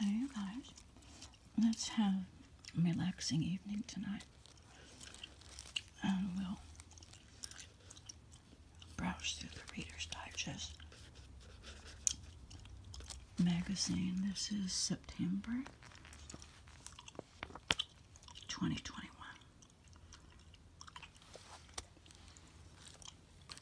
Hey guys, let's have a relaxing evening tonight. And we'll browse through the Reader's Digest magazine. This is September 2021.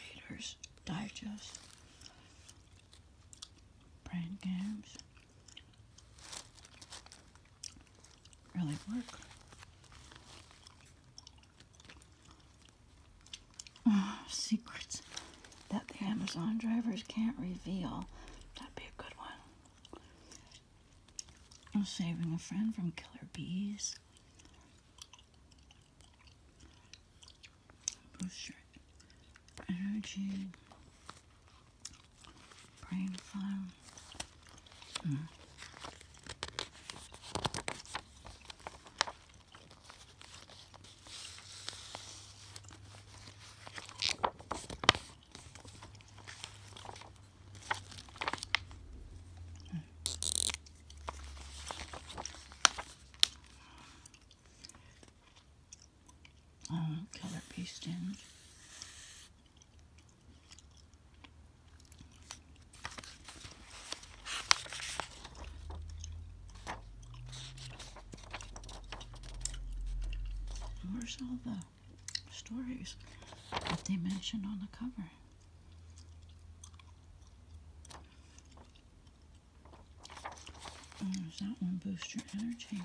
Reader's Digest, Brain Games really work. secrets that the Amazon drivers can't reveal. That'd be a good one. I'm saving a friend from killer bees booster energy, brain fun. Mm um, color paste in. Where's all the stories that they mentioned on the cover? does that one boost your energy?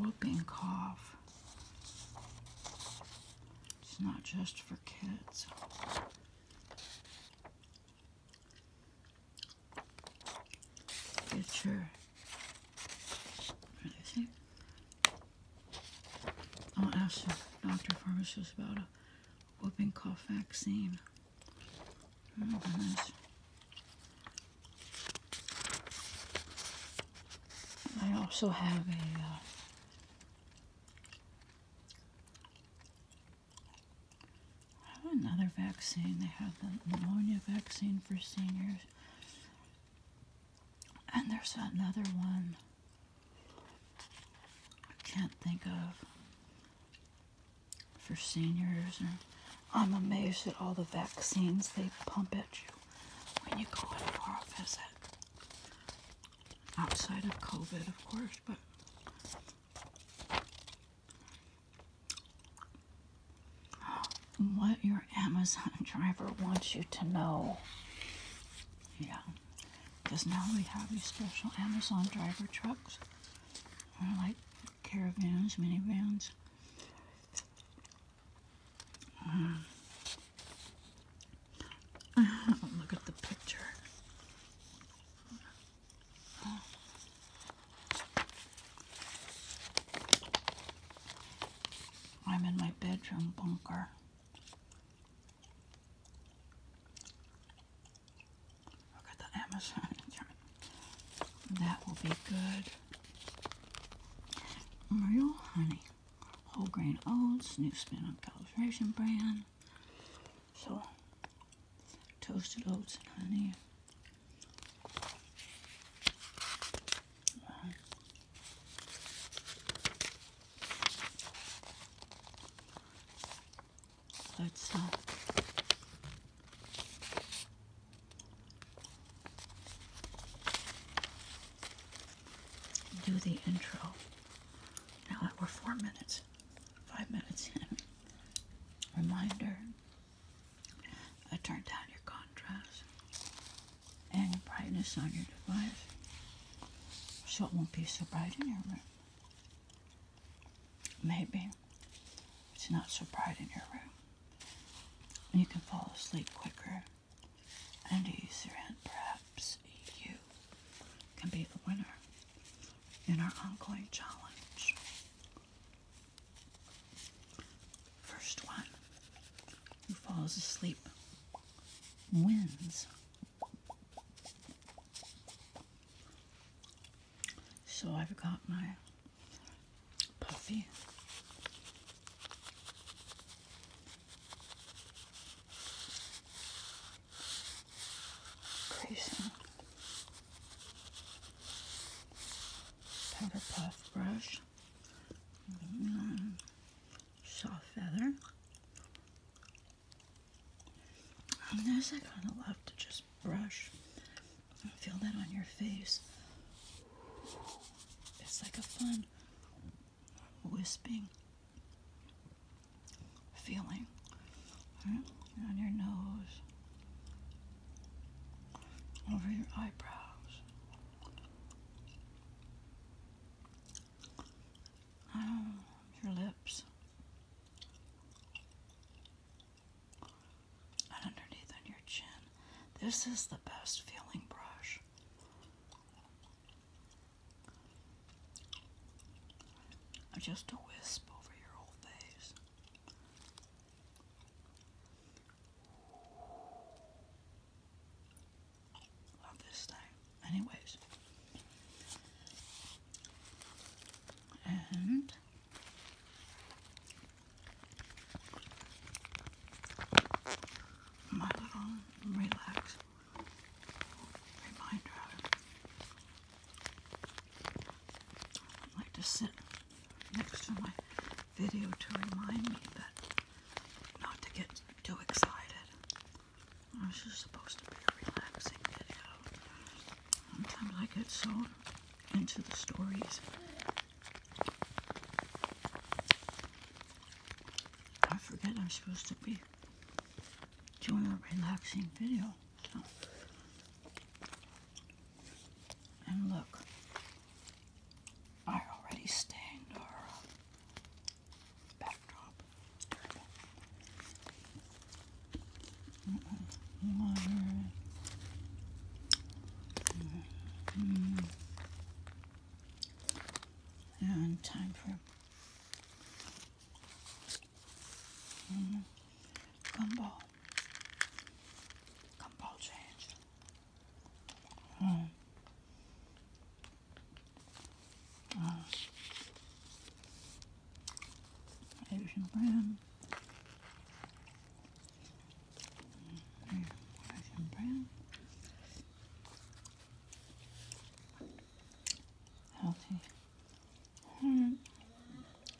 Whooping cough. It's not just for kids. Future. What is it? I'll ask the doctor pharmacist about a whooping cough vaccine. Oh, I also have a uh, another vaccine. They have the pneumonia vaccine for seniors. And there's another one I can't think of for seniors. I'm amazed at all the vaccines they pump at you when you go in for a visit. Outside of COVID, of course, but what your Amazon driver wants you to know. Yeah. Because now we have these special Amazon driver trucks. like caravans, minivans. Um, look at the picture. I'm in my bedroom bunker. Look at the Amazon. that will be good. Real honey. Whole grain oats, new spin on calibration brand. So toasted oats and honey. Wow. Good uh, Do the intro. Now that we're four minutes, five minutes in, reminder I turn down your contrast and brightness on your device so it won't be so bright in your room. Maybe it's not so bright in your room. You can fall asleep quicker and easier, and perhaps you can be the winner in our ongoing challenge. First one who falls asleep wins. So I've got my puffy. Crazy powder puff brush, mm, soft feather. On um, this, I kind of love to just brush feel that on your face. It's like a fun wisping feeling on your nose, over your eyebrows. Oh, your lips. And underneath on your chin. This is the best feeling brush. Just a wisp over your whole face. Love this thing. Anyways. And my little relax reminder. like to sit next to my video to remind me that not to get too excited. I'm just supposed to be a relaxing video. Sometimes I get so into the stories. I forget I'm supposed to be doing a relaxing video. And look, I already stained our uh, backdrop. and time for mm, gumball. Gumball change. Asian brand. Asian brand. Healthy. Mm.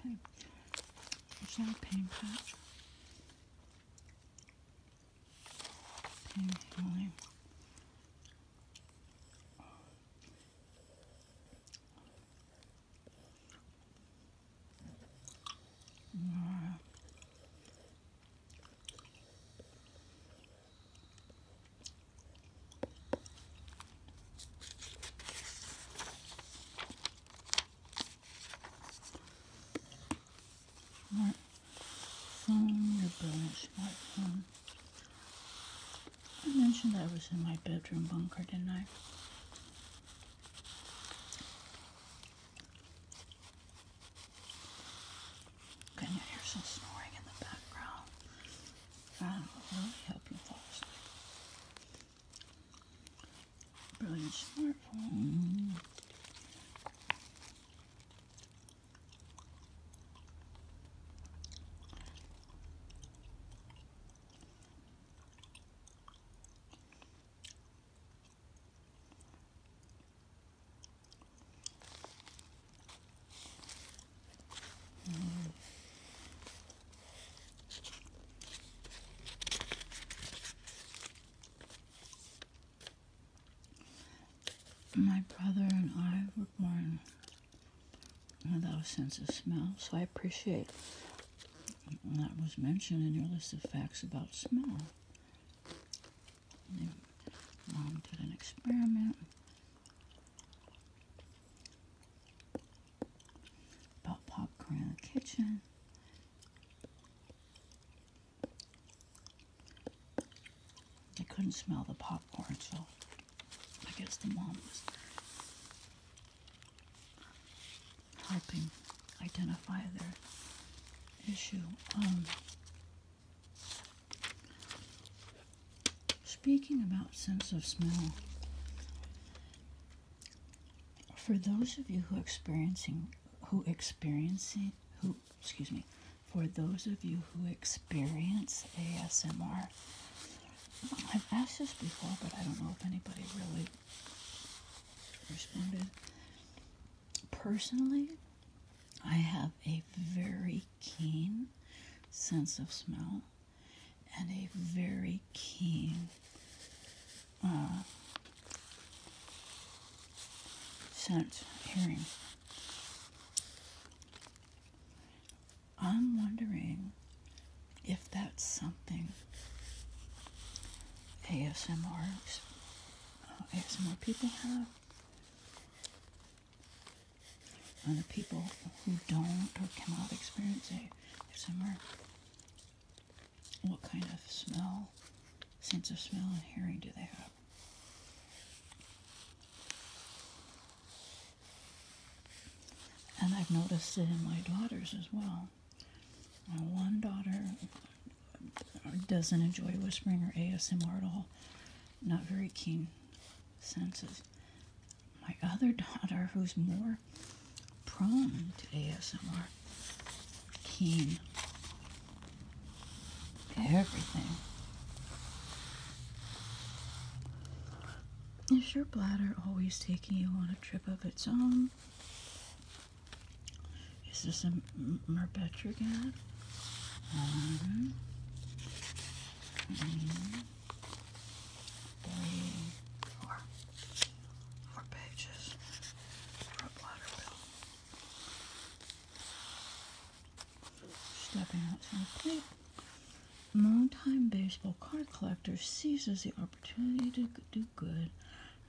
Okay. Champagne patch. Pink Halley. Laura. I mentioned I was in my bedroom bunker, didn't I? Can you hear some snoring in the background? That really help you fall asleep. Brilliant smartphone. My brother and I were born without a sense of smell, so I appreciate that was mentioned in your list of facts about smell. They, Mom did an experiment about popcorn in the kitchen. I couldn't smell the popcorn, so I guess the mom was helping identify their issue. Um, speaking about sense of smell, for those of you who experiencing who experiencing who excuse me for those of you who experience ASMR I've asked this before but I don't know if anybody really responded personally I have a very keen sense of smell and a very keen uh, sense hearing. I'm wondering if that's something ASMRs, uh, ASMR people have. And the people who don't or cannot experience ASMR, what kind of smell, sense of smell and hearing do they have? And I've noticed it in my daughters as well. My one daughter uh, doesn't enjoy whispering or ASMR at all, not very keen senses. My other daughter, who's more prone to ASMR. Keen everything. Is your bladder always taking you on a trip of its own? Is this a merbetrigad? Um, um, pages for time baseball card collector seizes the opportunity to do good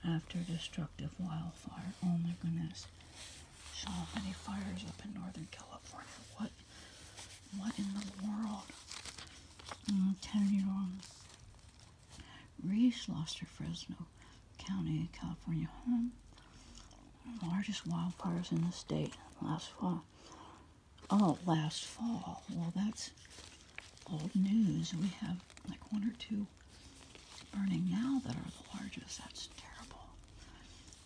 after destructive wildfire. Oh my goodness. So many fires up in Northern California. What what in the world? 10-year-old mm, Reese lost her Fresno County, California home. Largest wildfires in the state last fall. Oh, last fall. Well, that's old news. We have like one or two burning now that are the largest. That's terrible.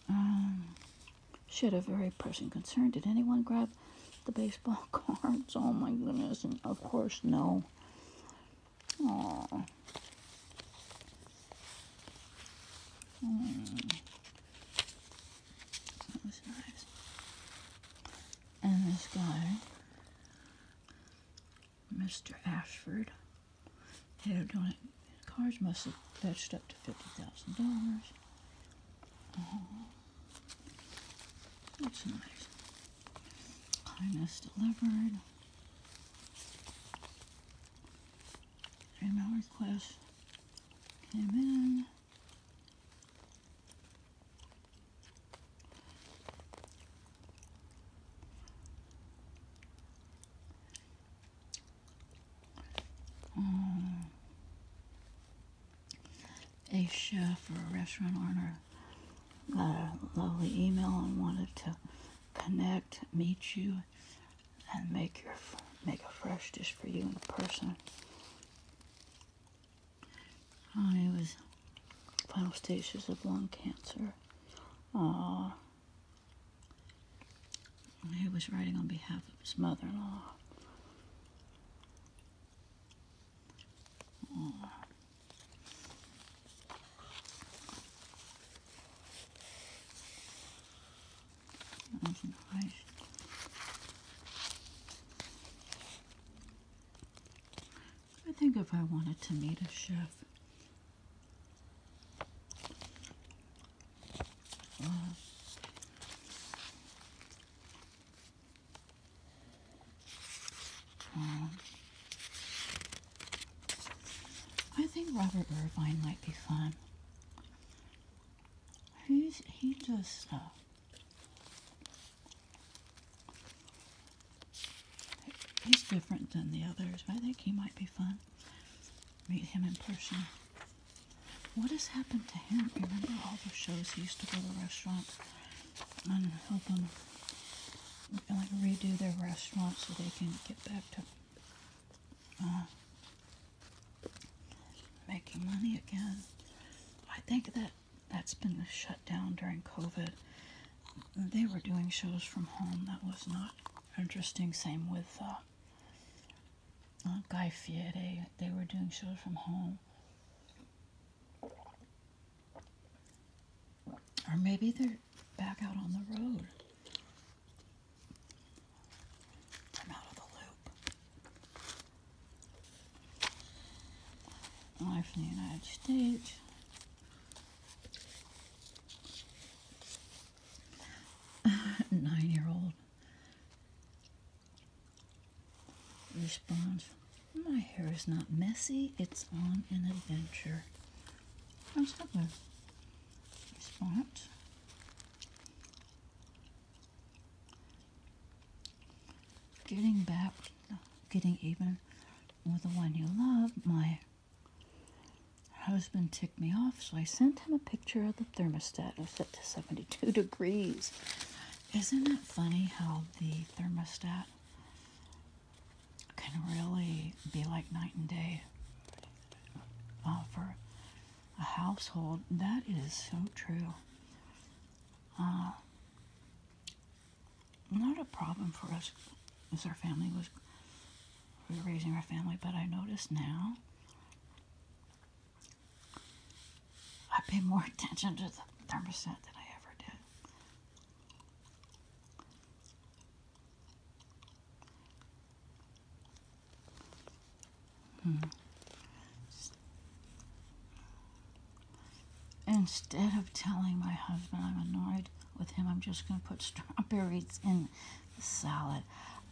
Um, should a very pressing concern. Did anyone grab the baseball cards? Oh my goodness. of course, no. Oh. Mm. That nice. And this guy, Mr. Ashford, head of donut cars must have fetched up to fifty thousand dollars. Oh, that's nice. Kindness delivered. Email request came in. Um, a chef or a restaurant owner Got a lovely email and wanted to connect, meet you, and make your make a fresh dish for you in person. he um, was final stages of lung cancer. Uh, he was writing on behalf of his mother-in-law. Mm. That's nice. I think if I wanted to meet a chef, uh, um, I think Robert Irvine might be fun. He's he just he's different than the others, I think he might be fun. Meet him in person. What has happened to him? Remember all the shows he used to go to restaurants and help them like redo their restaurant so they can get back to uh, making money again. I think that that's been shut down during COVID. They were doing shows from home. That was not interesting. Same with uh, uh, Guy Fieri. They were doing shows from home. Or maybe they're back out on the road. I'm out of the loop. Life in the United States. Nine-year-old response. My hair is not messy, it's on an adventure. How's that one? Spot. Getting back, getting even with the one you love, my husband ticked me off, so I sent him a picture of the thermostat. It set to 72 degrees. Isn't it funny how the thermostat can really be like night and day uh, for a household. That is so true. Uh, not a problem for us as our family was raising our family, but I notice now I pay more attention to the thermostat than I ever did. Hmm. Instead of telling my husband I'm annoyed with him, I'm just going to put strawberries in the salad.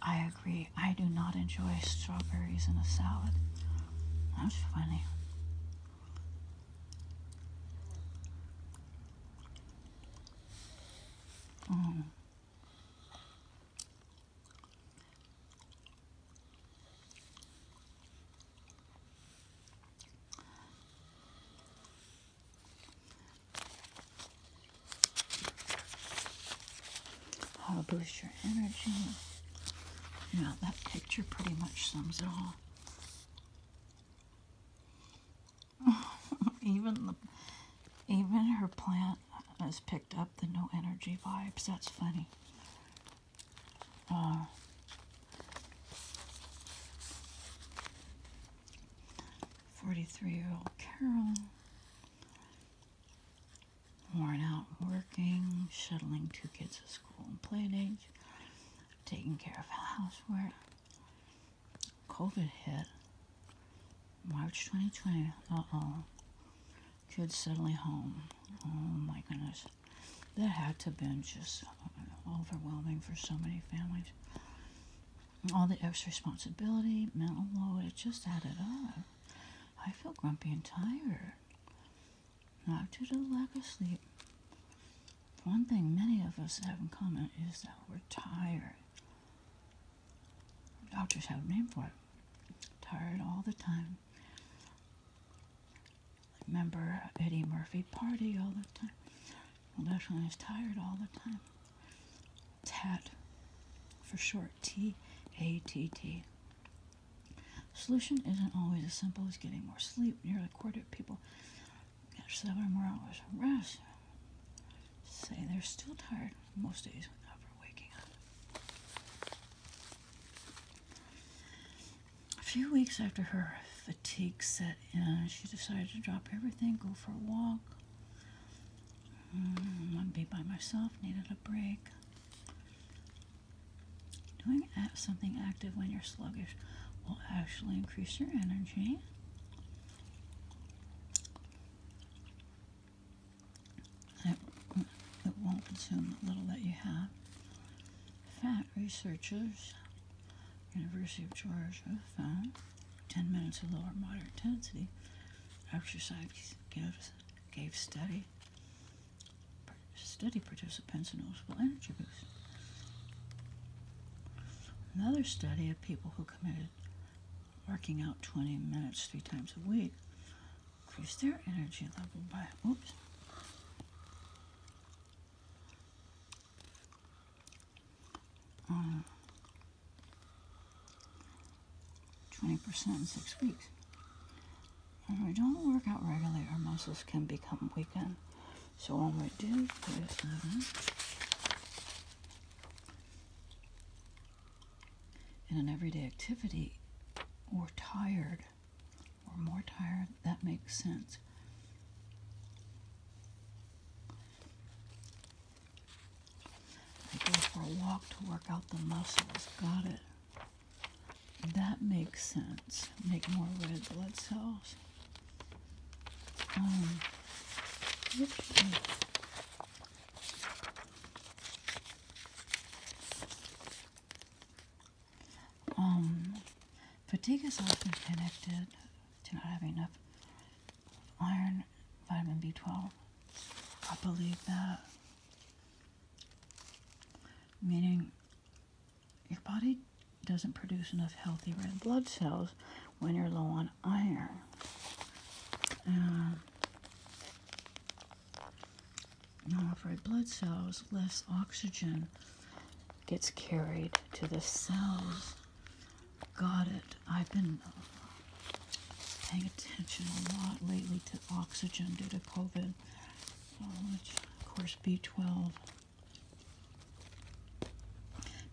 I agree. I do not enjoy strawberries in a salad. That's funny. Oh. boost your energy. Yeah, that picture pretty much sums it all. even the even her plant has picked up the no energy vibes. That's funny. Uh, forty-three-year-old Carol, worn out working, shuttling two kids to school and play age, taking care of housework, COVID hit March 2020. Uh oh. Kids suddenly home. Oh my goodness. That had to have been just uh, overwhelming for so many families. All the extra responsibility, mental load, it just added up. I feel grumpy and tired. Not due to lack of sleep, one thing many of us have in common is that we're tired. Doctors have a name for it. Tired all the time. Remember Eddie Murphy party all the time. Well, this I was tired all the time. TAT for short. T A T T. Solution isn't always as simple as getting more sleep. Nearly a quarter of people Got seven more hours of rest. Say they're still tired most days without for waking up. A few weeks after her fatigue set in, she decided to drop everything, go for a walk. Mm, I'd be by myself, needed a break. Doing something active when you're sluggish will actually increase your energy it, it won't consume the little that you have. Fat researchers, University of Georgia, found 10 minutes of lower moderate intensity exercise gives, gave study study participants an noticeable energy Another study of people who committed working out 20 minutes three times a week increased their energy level by, oops, 20% um, in six weeks. If we don't work out regularly, our muscles can become weakened so all I do is in an everyday activity, we're tired. We're more tired. That makes sense. I go for a walk to work out the muscles. Got it. That makes sense. Make more red blood cells. Um, fatigue um, is often connected to not having enough iron, vitamin B12. I believe that. Meaning, your body doesn't produce enough healthy red blood cells when you're low on iron. Uh, not red blood cells, less oxygen gets carried to the cells. Got it. I've been uh, paying attention a lot lately to oxygen due to COVID, uh, which, of course, B12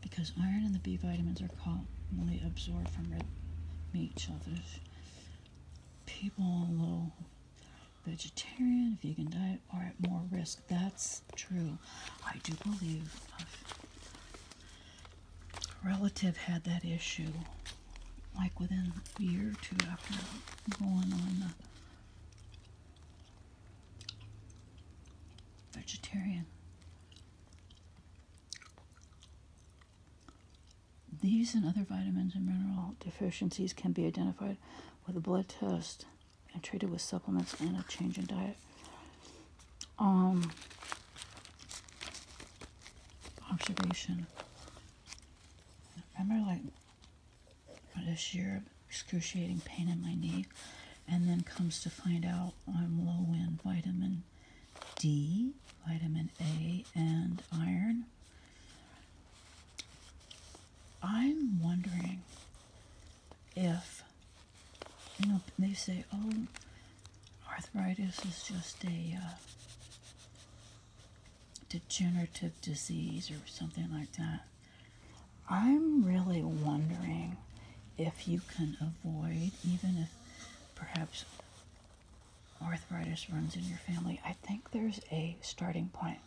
because iron and the B vitamins are commonly absorbed from red meat shelters, people on low vegetarian, vegan diet are at more risk. That's true. I do believe a relative had that issue like within a year or two after going on the vegetarian these and other vitamins and mineral deficiencies can be identified with a blood test and treated with supplements and a change in diet. Um, observation. I remember like this year of excruciating pain in my knee and then comes to find out I'm low in vitamin D, vitamin A, and iron. I'm wondering if, you know, they say, oh, arthritis is just a uh, degenerative disease or something like that. I'm really wondering if you can avoid, even if perhaps arthritis runs in your family, I think there's a starting point.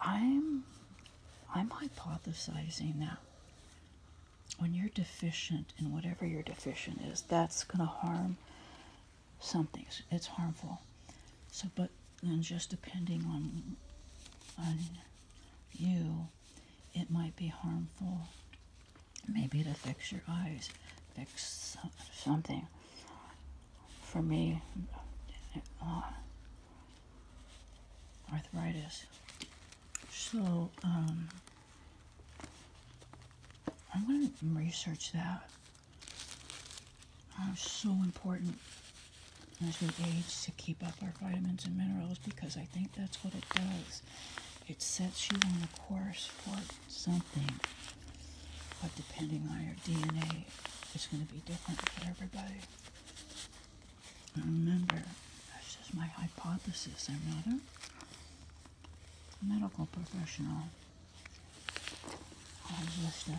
I'm I'm hypothesizing that when you're deficient in whatever your deficient is, that's going to harm something. It's harmful. So, but then just depending on on you, it might be harmful. Maybe to fix your eyes, fix something. For me, uh, arthritis. So, um, I'm going to research that. Uh, so important as we age to keep up our vitamins and minerals because I think that's what it does. It sets you on a course for something, but depending on your DNA, it's going to be different for everybody. And remember, that's just my hypothesis. I'm not a medical professional. I'm just a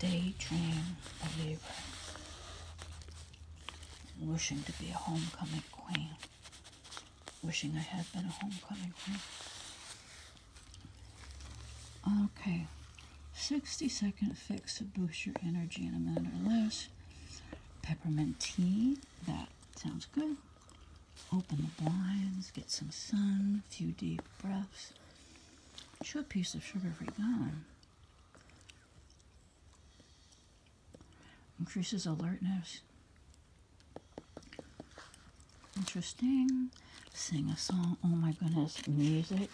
day believer wishing to be a homecoming queen, wishing I had been a homecoming queen. Okay, 60 second fix to boost your energy in a minute or less. Peppermint tea, that sounds good. Open the blinds, get some sun, a few deep breaths. Chew a piece of sugar-free gum. Increases alertness. Interesting. Sing a song. Oh my goodness. Music.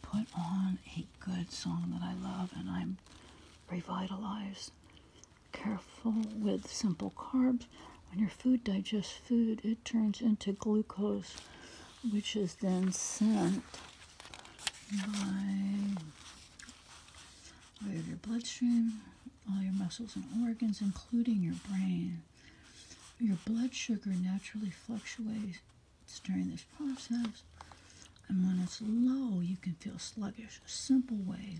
Put on a good song that I love and I'm revitalized. Careful with simple carbs. When your food digests food, it turns into glucose, which is then sent by way of your bloodstream, all your muscles and organs, including your brain. Your blood sugar naturally fluctuates during this process, and when it's low, you can feel sluggish. A simple way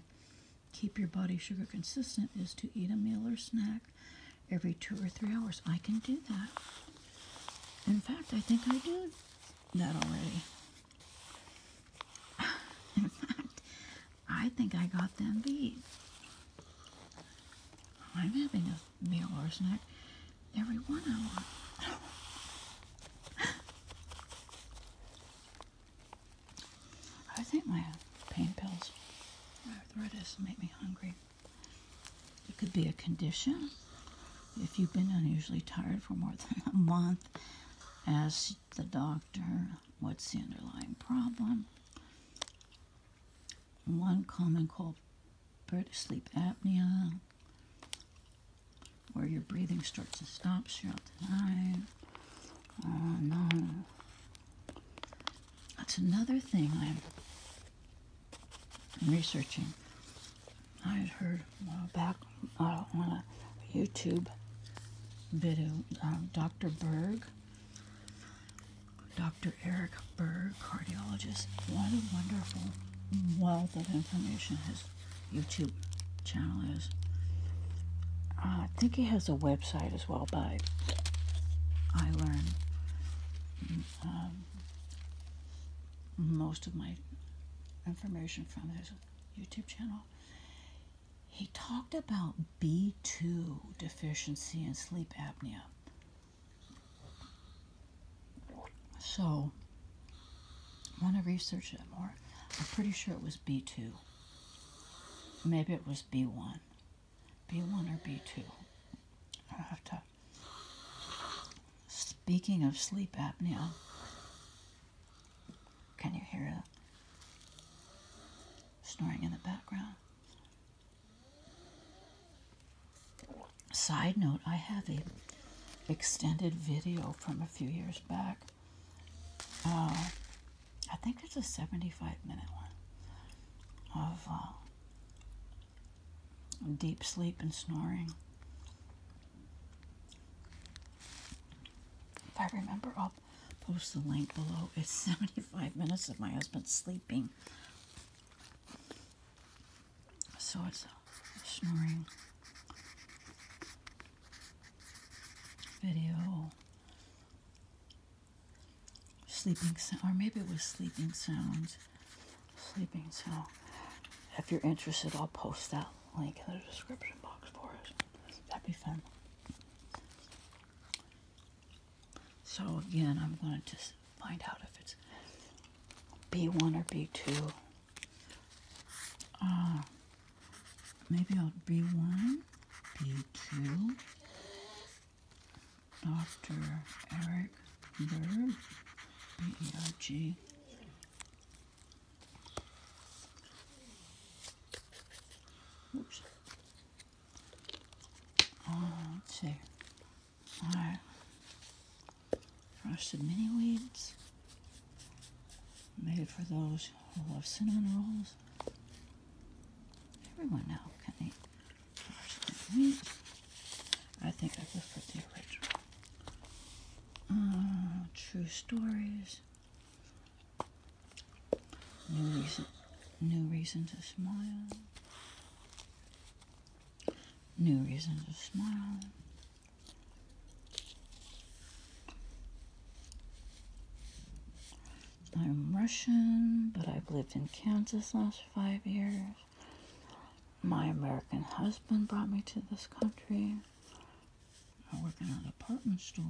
keep your body sugar consistent is to eat a meal or snack every two or three hours. I can do that. In fact, I think I do that already. In fact, I think I got them beat. I'm having a meal or snack every one hour. I think my pain pills, my arthritis, make me hungry. It could be a condition. If you've been unusually tired for more than a month, ask the doctor what's the underlying problem. One common called is sleep apnea, where your breathing starts to stop throughout the night. Oh no. That's another thing I'm researching. I had heard uh, back on a YouTube video, uh, Dr. Berg, Dr. Eric Berg, cardiologist. What a wonderful wealth of information his YouTube channel is. Uh, I think he has a website as well by I learned. Um, most of my information from his YouTube channel. He talked about B2 deficiency and sleep apnea. So, I want to research it more. I'm pretty sure it was B2. Maybe it was B1. B1 or B2. I have to Speaking of sleep apnea, can you hear it snoring in the background? Side note, I have a extended video from a few years back. Uh, I think it's a 75 minute one of uh, deep sleep and snoring. If I remember, I'll post the link below. It's 75 minutes of my husband sleeping. So it's a snoring video. Sleeping sound, or maybe it was sleeping sounds sleeping. So if you're interested, I'll post that link in the description box for us. That'd be fun. So again, I'm going to just find out if it's B1 or B2. Uh, maybe I'll B1, B2, Dr. Eric Berg, B-E-R-G, Oops. Uh, oh, Alright. Roasted mini weeds. Made for those who love cinnamon rolls. Everyone now can eat roasted mini weeds. I think I prefer the original. Uh, true stories. New reason, new reason to smile. New reason to smile. I'm Russian, but I've lived in Kansas last five years. My American husband brought me to this country. I work in an apartment store.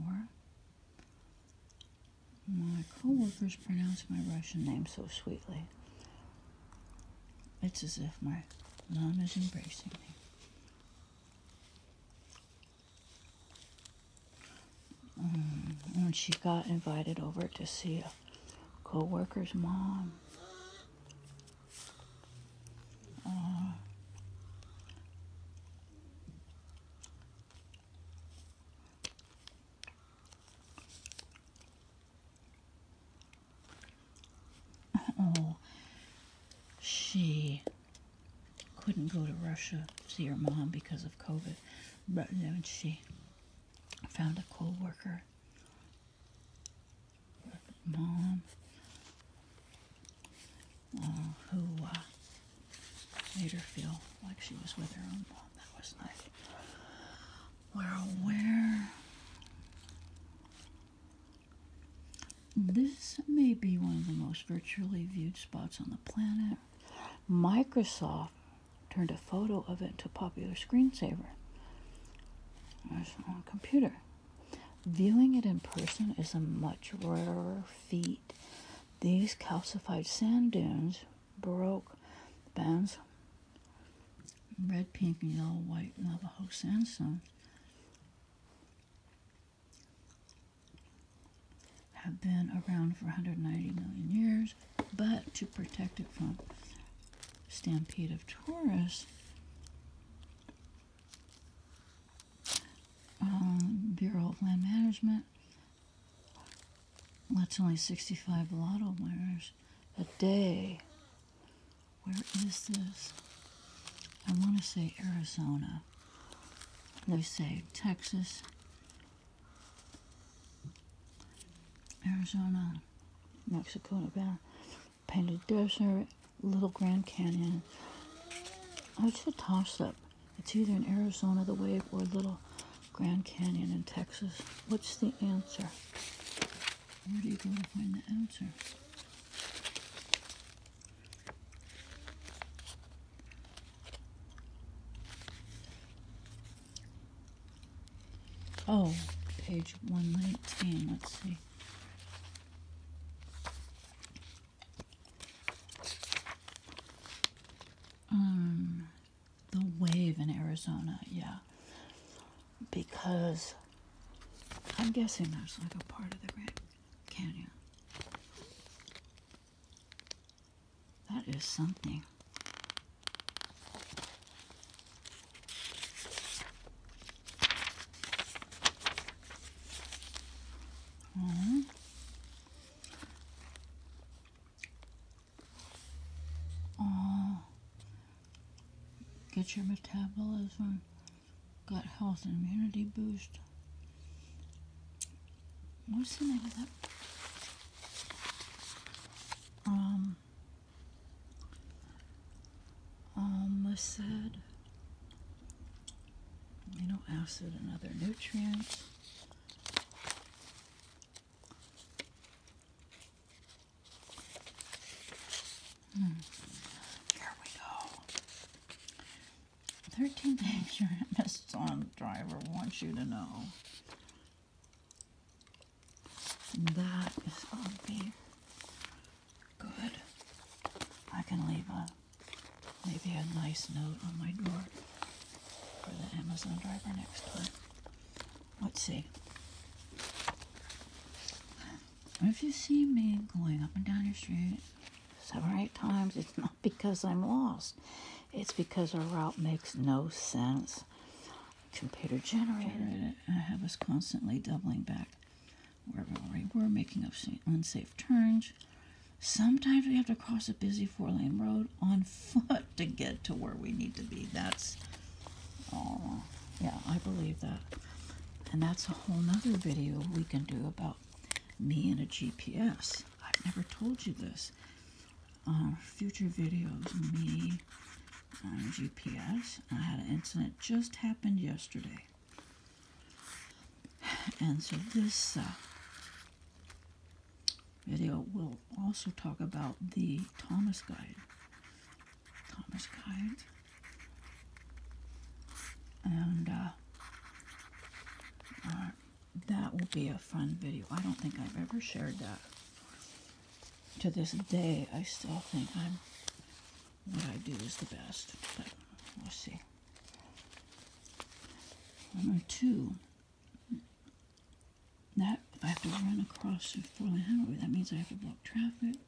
My coworkers pronounce my Russian name so sweetly. It's as if my mom is embracing me. Um, when she got invited over to see a coworker's mom, uh, oh, she couldn't go to Russia to see her mom because of COVID, but then she found a co-worker mom uh, who uh, made like she was with her own mom. That was nice. We're This may be one of the most virtually viewed spots on the planet. Microsoft turned a photo of it into a popular screensaver. on computer. Viewing it in person is a much rarer feat. These calcified sand dunes broke bands red, pink, and yellow, white Navajo sandstone have been around for 190 million years, but to protect it from stampede of tourists, um, Bureau of Land Management. That's only 65 lotto winners a day. Where is this? I want to say Arizona. They say Texas, Arizona, Mexico, Nevada. Painted Desert, Little Grand Canyon. Oh, it's a toss up. It's either in Arizona, the wave, or Little Grand Canyon in Texas. What's the answer? Where do you go to find the answer? Oh, page 119. Let's see. Um, the wave in Arizona, yeah. Because I'm guessing that's like a part of the Grand Canyon. That is something. Mm get your metabolism, gut health, and immunity boosted. What's the name of that? Um, almost said amino acid and other nutrients. Hmm. Here we go. 13 things your Amazon driver wants you to know. that is going to Good. I can leave a maybe a nice note on my door for the Amazon driver next time. Let's see. If you see me going up and down your street seven or eight times, it's not because I'm lost. It's because our route makes no sense. Computer generated I have us constantly doubling back where we are making up unsafe turns. Sometimes we have to cross a busy four lane road on foot to get to where we need to be. That's, oh, yeah, I believe that. And that's a whole nother video we can do about me and a GPS. I've never told you this. Uh, future videos, me on GPS. I had an incident just happened yesterday. And so this uh, video will also talk about the Thomas Guide. Thomas Guide. And uh, uh, that will be a fun video. I don't think I've ever shared that. To this day, I still think I'm what I do is the best, but we'll see. Number two, that I have to run across a four-lane highway, that means I have to block traffic.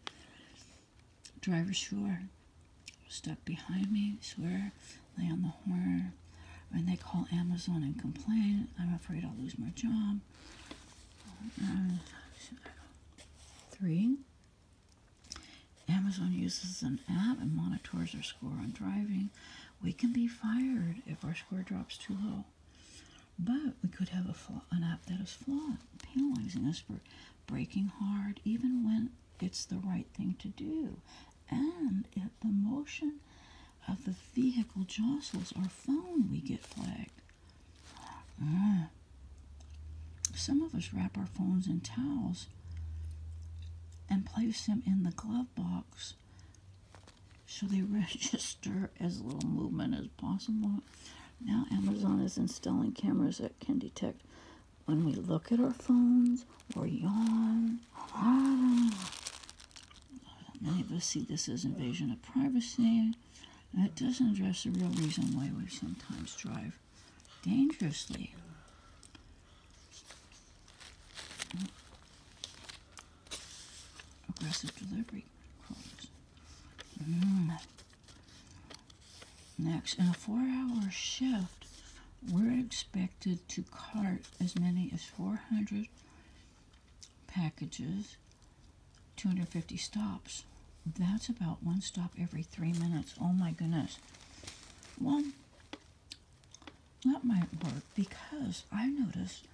Driver's sure stuck behind me, swear, they on the horn. When they call Amazon and complain, I'm afraid I'll lose my job. three, Amazon uses an app and monitors our score on driving. We can be fired if our score drops too low. But we could have a an app that is flawed, penalizing us for breaking hard even when it's the right thing to do. And if the motion of the vehicle jostles our phone, we get flagged. Mm. Some of us wrap our phones in towels and place them in the glove box so they register as little movement as possible. Now Amazon is installing cameras that can detect when we look at our phones or yawn. Many of us see this as invasion of privacy. That doesn't address the real reason why we sometimes drive dangerously. Aggressive delivery hmm. Next, in a four-hour shift, we're expected to cart as many as 400 packages, 250 stops. That's about one stop every three minutes. Oh my goodness. Well, that might work because I noticed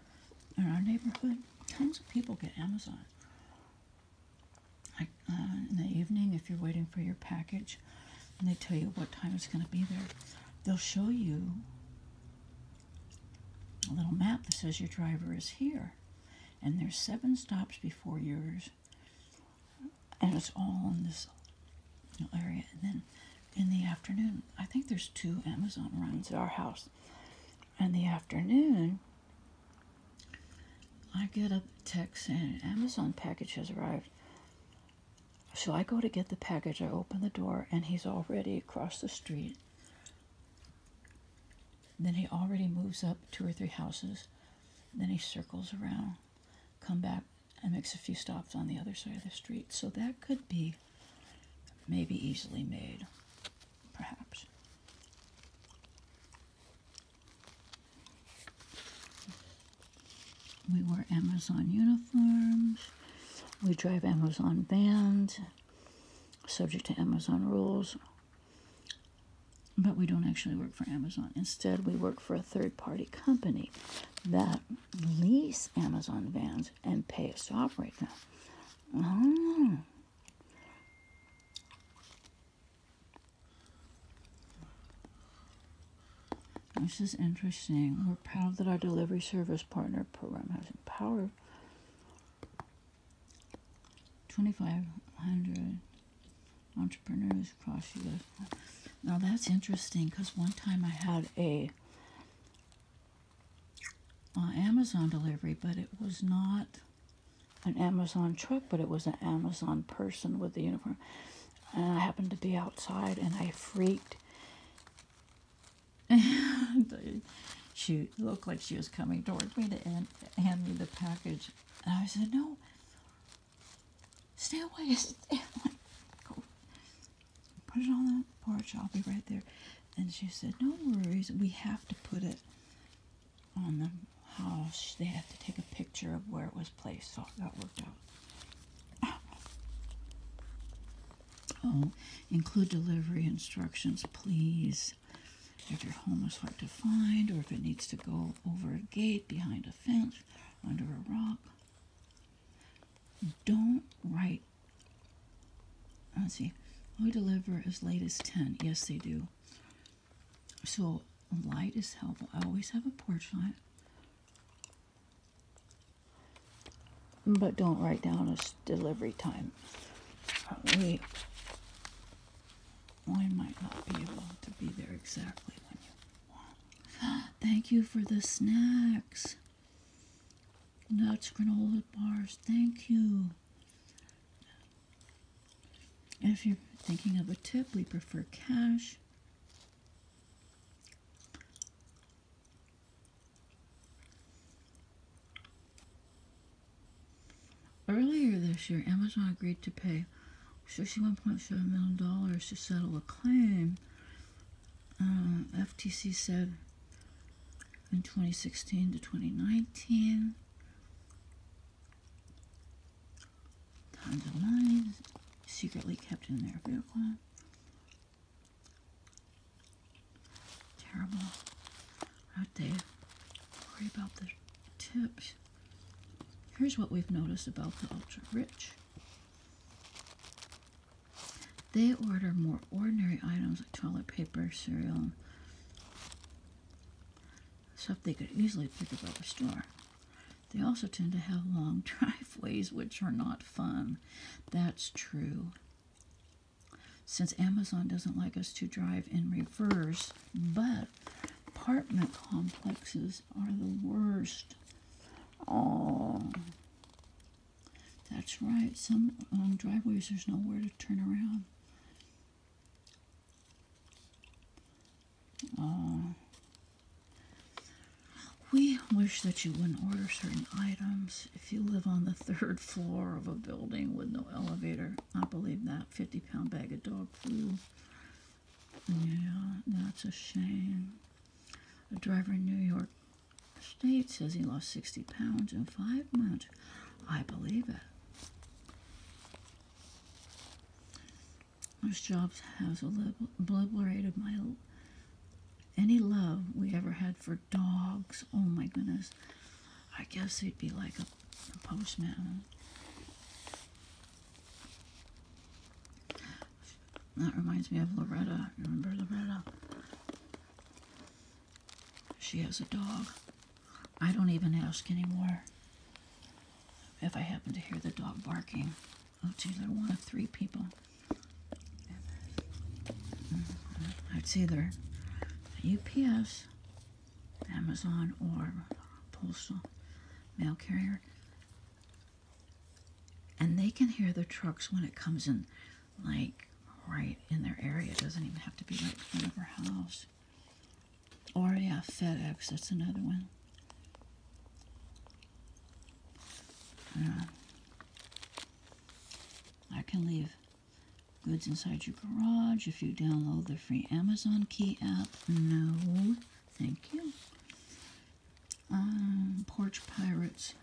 in our neighborhood, tons of people get Amazon. Like, uh, in the evening, if you're waiting for your package, and they tell you what time it's going to be there, they'll show you a little map that says your driver is here. And there's seven stops before yours and it's all in this area. And then in the afternoon, I think there's two Amazon runs at our house. In the afternoon, I get a text and Amazon package has arrived. So I go to get the package. I open the door, and he's already across the street. Then he already moves up two or three houses. Then he circles around come back and makes a few stops on the other side of the street. So that could be maybe easily made, perhaps. We wear Amazon uniforms. We drive Amazon vans, subject to Amazon rules but we don't actually work for Amazon. Instead, we work for a third party company that lease Amazon vans and pay us off right now. Oh. This is interesting. We're proud that our delivery service partner program has empowered 2,500 entrepreneurs across U.S. Now that's interesting because one time I had a uh, Amazon delivery, but it was not an Amazon truck, but it was an Amazon person with the uniform. And I happened to be outside and I freaked. she looked like she was coming towards me to hand me the package. And I said, No, Stay away. Stay away. Go. Put it on the porch. I'll be right there. And she said, No worries. We have to put it on the house. They have to take a picture of where it was placed. So that worked out. Oh, include delivery instructions, please. If your home is hard to find or if it needs to go over a gate behind a fence under a rock. Don't write. Let's see. We deliver as late as 10. Yes, they do. So light is helpful. I always have a porch light. But don't write down a delivery time. We, we might not be able to be there exactly when you Thank you for the snacks. Nuts, granola bars. Thank you. if you're thinking of a tip, we prefer cash. Earlier this year, Amazon agreed to pay $61.7 million to settle a claim, uh, FTC said in 2016 to 2019. Tons of money secretly kept in their vehicle. Terrible. Out there. Worry about the tips. Here's what we've noticed about the ultra rich. They order more ordinary items like toilet paper, cereal, stuff they could easily pick up at the store. They also tend to have long driveways, which are not fun. That's true. Since Amazon doesn't like us to drive in reverse, but apartment complexes are the worst. Oh, that's right. Some um, driveways, there's nowhere to turn around. Oh, we wish that you wouldn't order certain items. If you live on the third floor of a building with no elevator, I believe that 50 pound bag of dog food yeah, that's a shame. A driver in New York State says he lost 60 pounds in five months. I believe it. This Jobs has obliterated my any love we ever had for dogs. Oh my goodness. I guess he'd be like a postman. That reminds me of Loretta. Remember Loretta? She has a dog. I don't even ask anymore. If I happen to hear the dog barking, oh, gee, they're one of three people. Mm-hmm. It's either UPS, Amazon, or postal mail carrier. And they can hear the trucks when it comes in, like right in their area. It doesn't even have to be right in front of our house. Or, yeah, FedEx, that's another one. Uh, I can leave goods inside your garage if you download the free Amazon Key app. No, thank you um, porch pirates.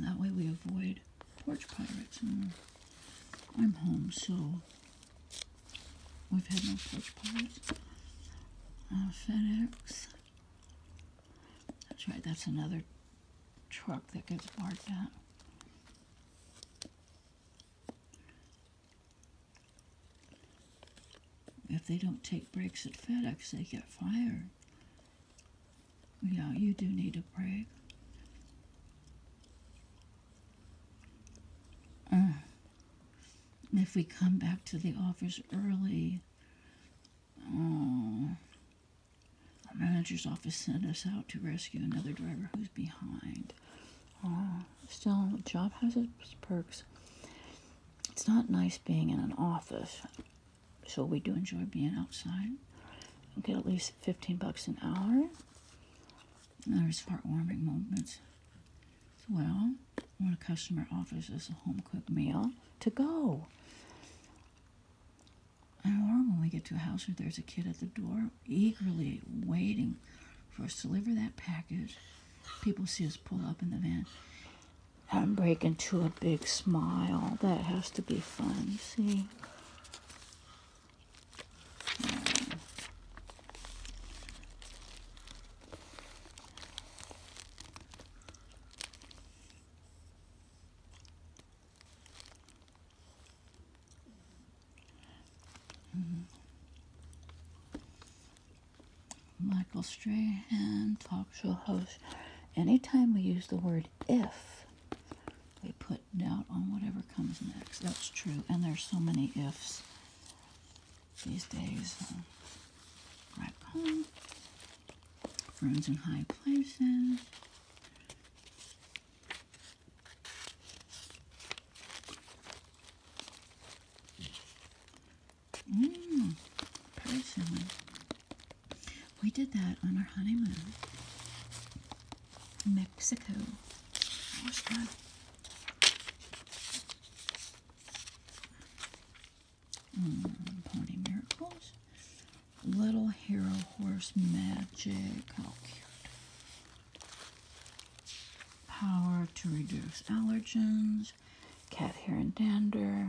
that way we avoid porch pirates. Hmm. I'm home, so we've had no porch pirates. Uh, FedEx. That's right, that's another truck that gets barked out. If they don't take breaks at FedEx, they get fired. Yeah, you do need a break. Uh, if we come back to the office early, oh, our manager's office sent us out to rescue another driver who's behind. Uh, still, job has its perks. It's not nice being in an office, so we do enjoy being outside. get at least 15 bucks an hour. there's heartwarming moments as well when a customer offers us a home cooked meal to go. or when we get to a house where there's a kid at the door eagerly waiting for us to deliver that package people see us pull up in the van. I'm breaking to a big smile. That has to be fun, see? Michael Strahan, talk show host. Anytime we use the word if, we put doubt on whatever comes next. That's true. And there's so many ifs these days. Um, right home. Friends in high places. Mmm, We did that on our honeymoon in Mexico. That was good. Mm, pony miracles. Little hero horse magic. How oh, cute. Power to reduce allergens cat hair and dander,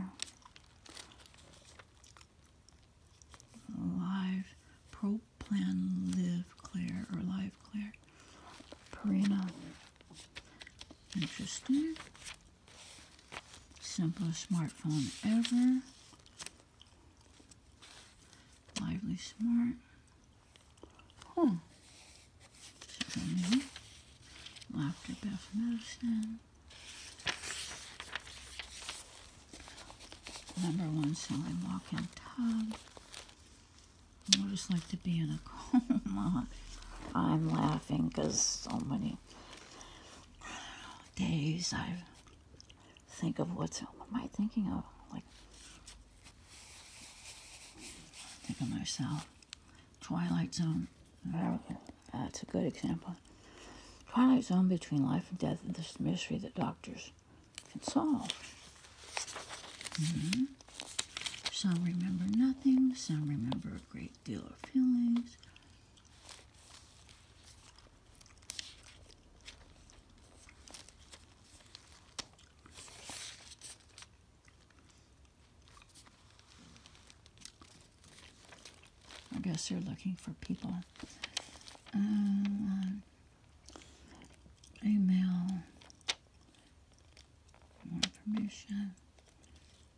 live pro plan live clear or live clear, Purina. Interesting. Simplest smartphone ever. Lively smart home. laughter Beth Medicine. Number one selling walk-in tub. What just like to be in a coma. I'm laughing because so many days I think of what's, what am I thinking of? Like, think of myself. Twilight Zone. That's a good example. Twilight Zone between life and death and this mystery that doctors can solve. Mm-hmm. Some remember nothing, some remember a great deal of feelings. I guess you are looking for people. Um, email, more information.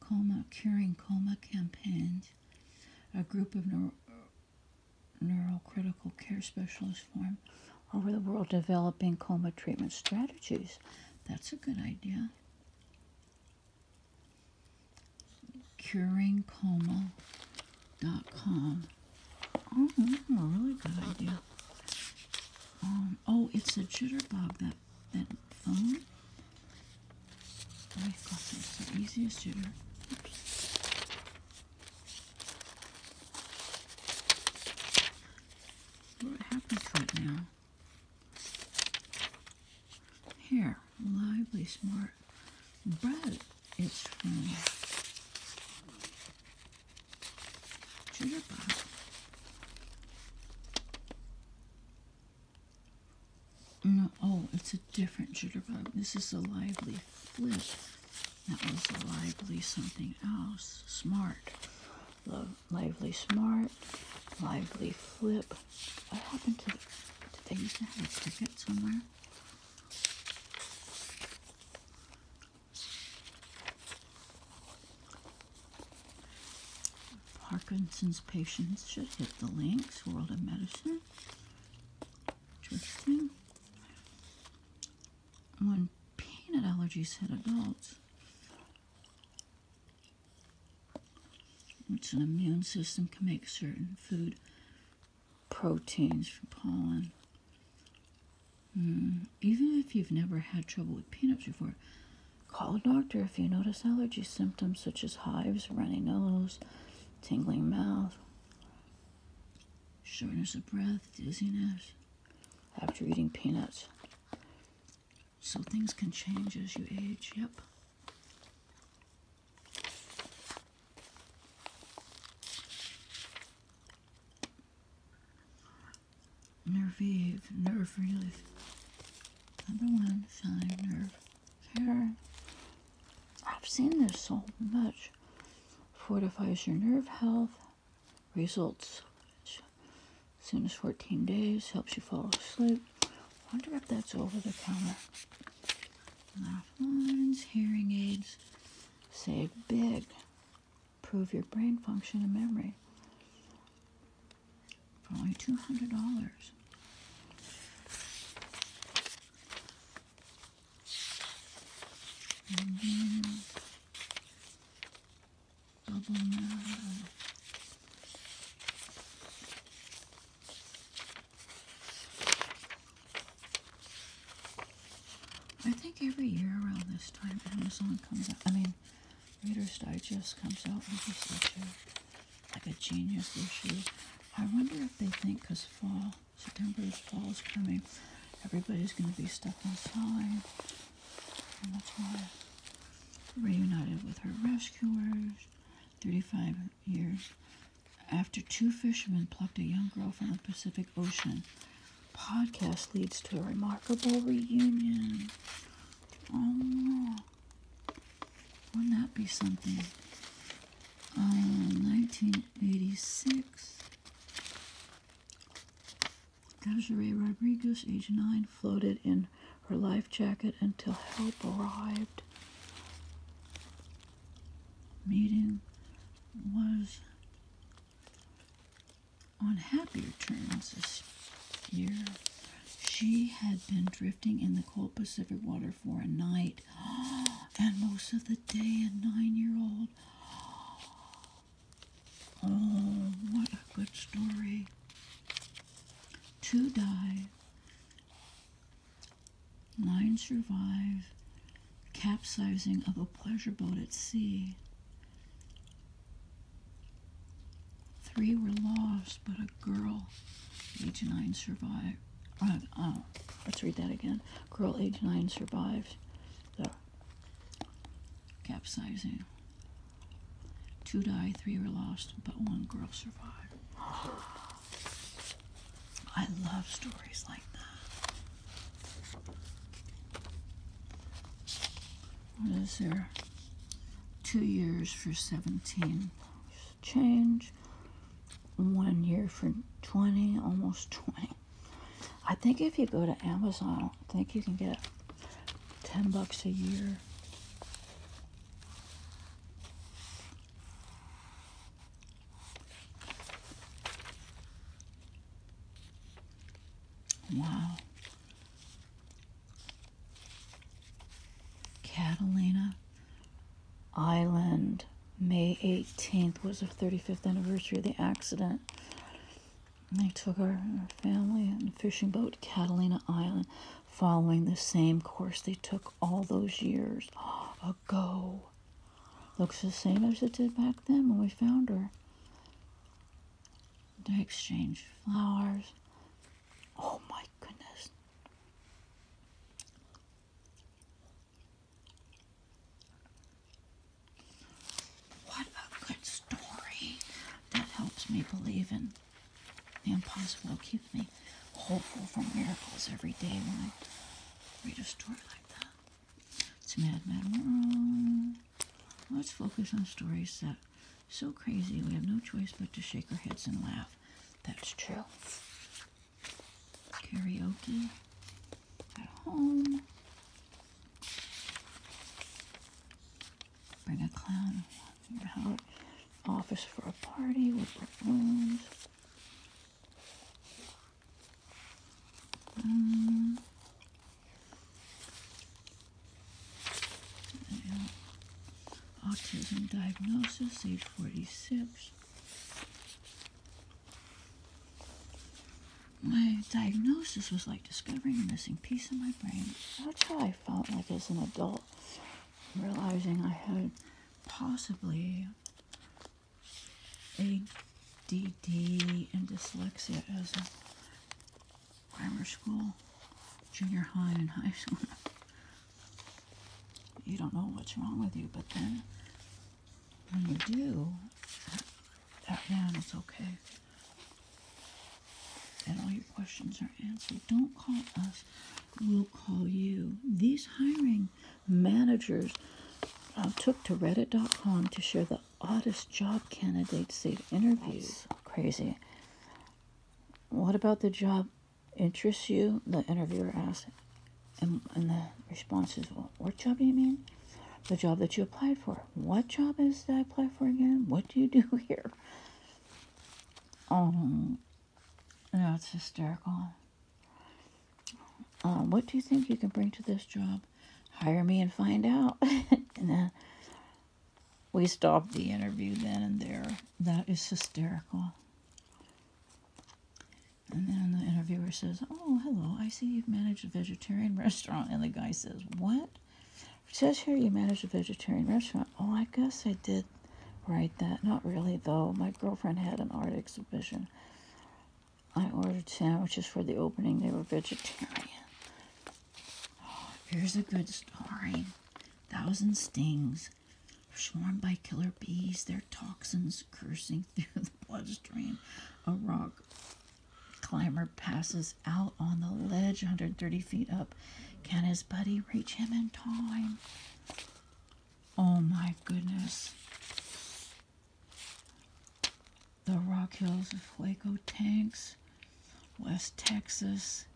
Coma, Curing Coma Campaigns, a group of neurocritical care specialists formed over the world developing coma treatment strategies. That's a good idea. CuringComa.com. Oh, that's a really good idea. Um, oh, it's a jitterbug, that, that phone. Oh, I thought that's the easiest jitter. What happens right now? Here, lively, smart but It's from Jitterbug. No, oh, it's a different jitterbug. This is a lively flip. That was a lively something else. Smart lively smart, lively flip. What happened to, did they used to have a ticket somewhere? Parkinson's patients should hit the links, World of Medicine. Interesting. When peanut allergies hit adults, which an immune system can make certain food proteins from pollen. Hmm, even if you've never had trouble with peanuts before, call a doctor if you notice allergy symptoms such as hives, runny nose, tingling mouth, shortness of breath, dizziness after eating peanuts. So things can change as you age, yep. Nervive, nerve relief. Number one sign, nerve care. I've seen this so much. Fortifies your nerve health, results as soon as 14 days, helps you fall asleep. wonder if that's over the counter. Lifelines, hearing aids, save big, prove your brain function and memory. For only $200. I think every year around this time Amazon comes out. I mean, Reader's Digest comes out with just such like a genius issue. I wonder if they think because fall, September is fall is coming, everybody's going to be stuck inside. And that's why reunited with her rescuers 35 years after two fishermen plucked a young girl from the Pacific Ocean. Podcast leads to a remarkable reunion. Oh, wouldn't that be something? Uh, 1986. Desiree Rodriguez, age 9, floated in her life jacket until help arrived. Meeting was on happier terms this year. She had been drifting in the cold Pacific water for a night and most of the day. A nine year old. Oh, what a good story. Two died, nine survive, capsizing of a pleasure boat at sea. Three were lost, but a girl, age nine, survived. Uh, uh let's read that again. Girl, age nine, survived the capsizing Two died, three were lost, but one girl survived. I love stories like that. What is there? Two years for 17 change, one year for 20, almost 20. I think if you go to Amazon, I think you can get 10 bucks a year. Wow. Catalina Island, May 18th was the 35th anniversary of the accident. They took our, family on a fishing boat to Catalina Island following the same course they took all those years ago. Looks the same as it did back then when we found her. They exchanged flowers. Oh my goodness. What a good story. That helps me believe in the impossible keeps me hopeful for miracles every day when I read a story like that. It's Mad Mad World. Let's focus on stories that so crazy we have no choice but to shake our heads and laugh. That's true. Karaoke at home. Bring a clown Office for a party with balloons. Um, mm. autism diagnosis, age 46. My diagnosis was like discovering a missing piece of my brain. That's how I felt like as an adult realizing I had possibly ADD and dyslexia as a grammar school, junior high, and high school. you don't know what's wrong with you, but then when you do, that, that man, it's okay and all your questions are answered. Don't call us, we'll call you. These hiring managers uh, took to reddit.com to share the oddest job candidates they've interviewed. crazy. What about the job interests you? The interviewer asked. And, the response is, what job do you mean? The job that you applied for. What job is that I apply for again? What do you do here? Um, that's hysterical. Uh, what do you think you can bring to this job? Hire me and find out. and then we stopped the interview then and there. That is hysterical. And then the interviewer says, Oh, hello, I see you've managed a vegetarian restaurant. And the guy says, What? It says here you manage a vegetarian restaurant. Oh, I guess I did write that. Not really, though. My girlfriend had an art exhibition. I ordered sandwiches for the opening. They were vegetarian. Oh, here's a good story. Thousand stings swarmed by killer bees, their toxins coursing through the bloodstream. A rock climber passes out on the ledge 130 feet up can his buddy reach him in time? Oh my goodness. The Rock Hills of Fuego tanks, West Texas.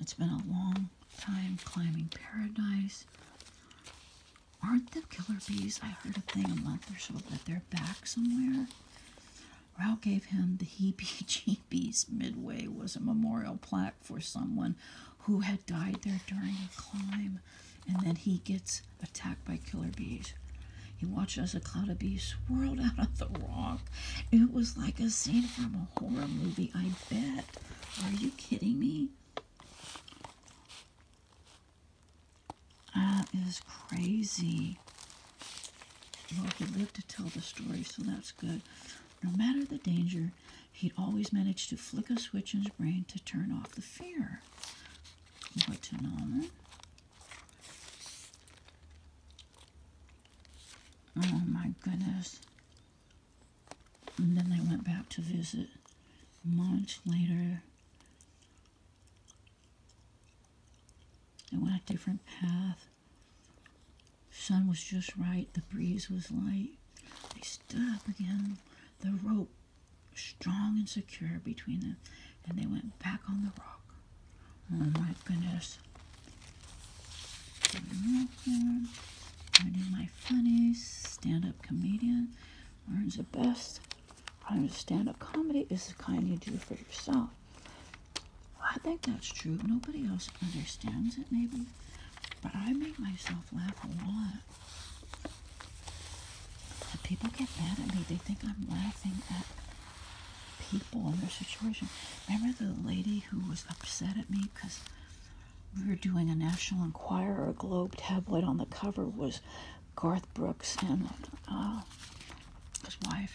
It's been a long time climbing paradise. Aren't the killer bees? I heard a thing a month or so that they're back somewhere. Ralph gave him the heebie jeebies. Midway was a memorial plaque for someone who had died there during a climb, and then he gets attacked by killer bees. He watches a cloud of bees swirled out of the rock. It was like a scene from a horror movie, I bet. Are you kidding me? That is crazy. Well, he lived to tell the story, so that's good. No matter the danger, he'd always managed to flick a switch in his brain to turn off the fear. What phenomenon? Oh my goodness. And then they went back to visit months later. They went a different path sun was just right, the breeze was light. They stood up again, the rope strong and secure between them, and they went back on the rock. Oh my goodness. Learning my funnies, stand-up comedian, learns the best. Prime stand-up comedy is the kind you do for yourself. I think that's true. Nobody else understands it, maybe, but I make myself laugh a lot. people get mad at me. They think I'm laughing at people and their situation. Remember the lady who was upset at me because we were doing a National Enquirer, a Globe tabloid on the cover was Garth Brooks and uh, his wife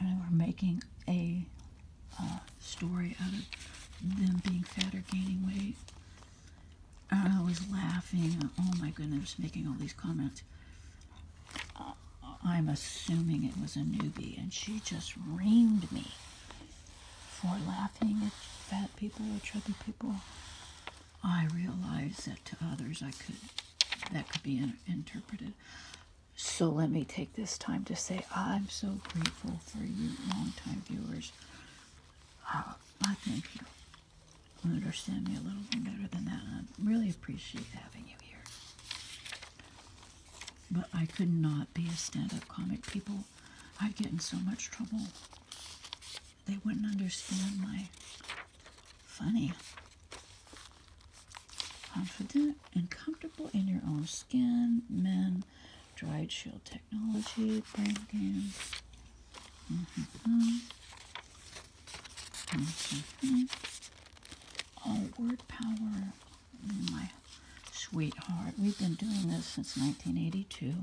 and we're making a story out of them being fat or gaining weight. I was laughing. Oh my goodness, making all these comments. Uh, I'm assuming it was a newbie, and she just reamed me for laughing at fat people or chubby people. I realized that to others, I could that could be interpreted so let me take this time to say I'm so grateful for you, longtime viewers. Uh, I thank you. You understand me a little bit better than that. I really appreciate having you here. But I could not be a stand-up comic. People, I'd get in so much trouble. They wouldn't understand my funny. Confident and comfortable in your own skin, men, Dry shield technology, brain games. Oh, word power, my sweetheart. We've been doing this since 1982.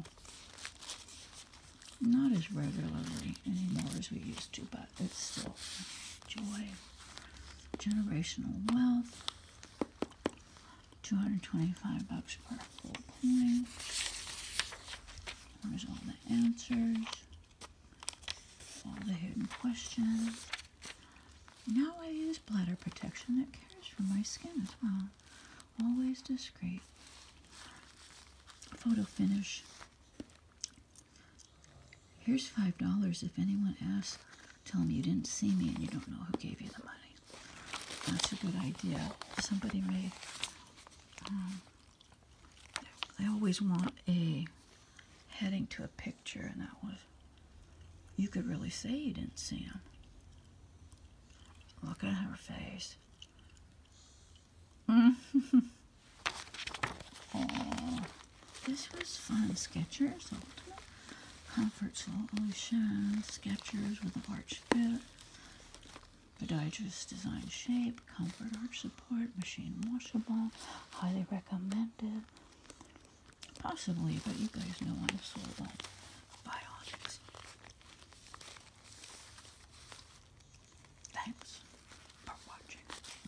Not as regularly anymore as we used to, but it's still joy generational wealth, 225 bucks per full point. There's all the answers, all the hidden questions. Now I use bladder protection that cares for my skin as well. Always discreet. Photo finish. Here's five dollars. If anyone asks, tell them you didn't see me and you don't know who gave you the money. That's a good idea. Somebody made. Um, I always want a heading to a picture, and that was. You could really say you didn't see him. Look at her face. Mm. This was fun. Skechers Comfort Solution. Skechers with an arch fit. Podiatrist design shape, comfort arch support, machine washable, highly recommended. Possibly, but you guys know I'm sold on biologics. Thanks for watching.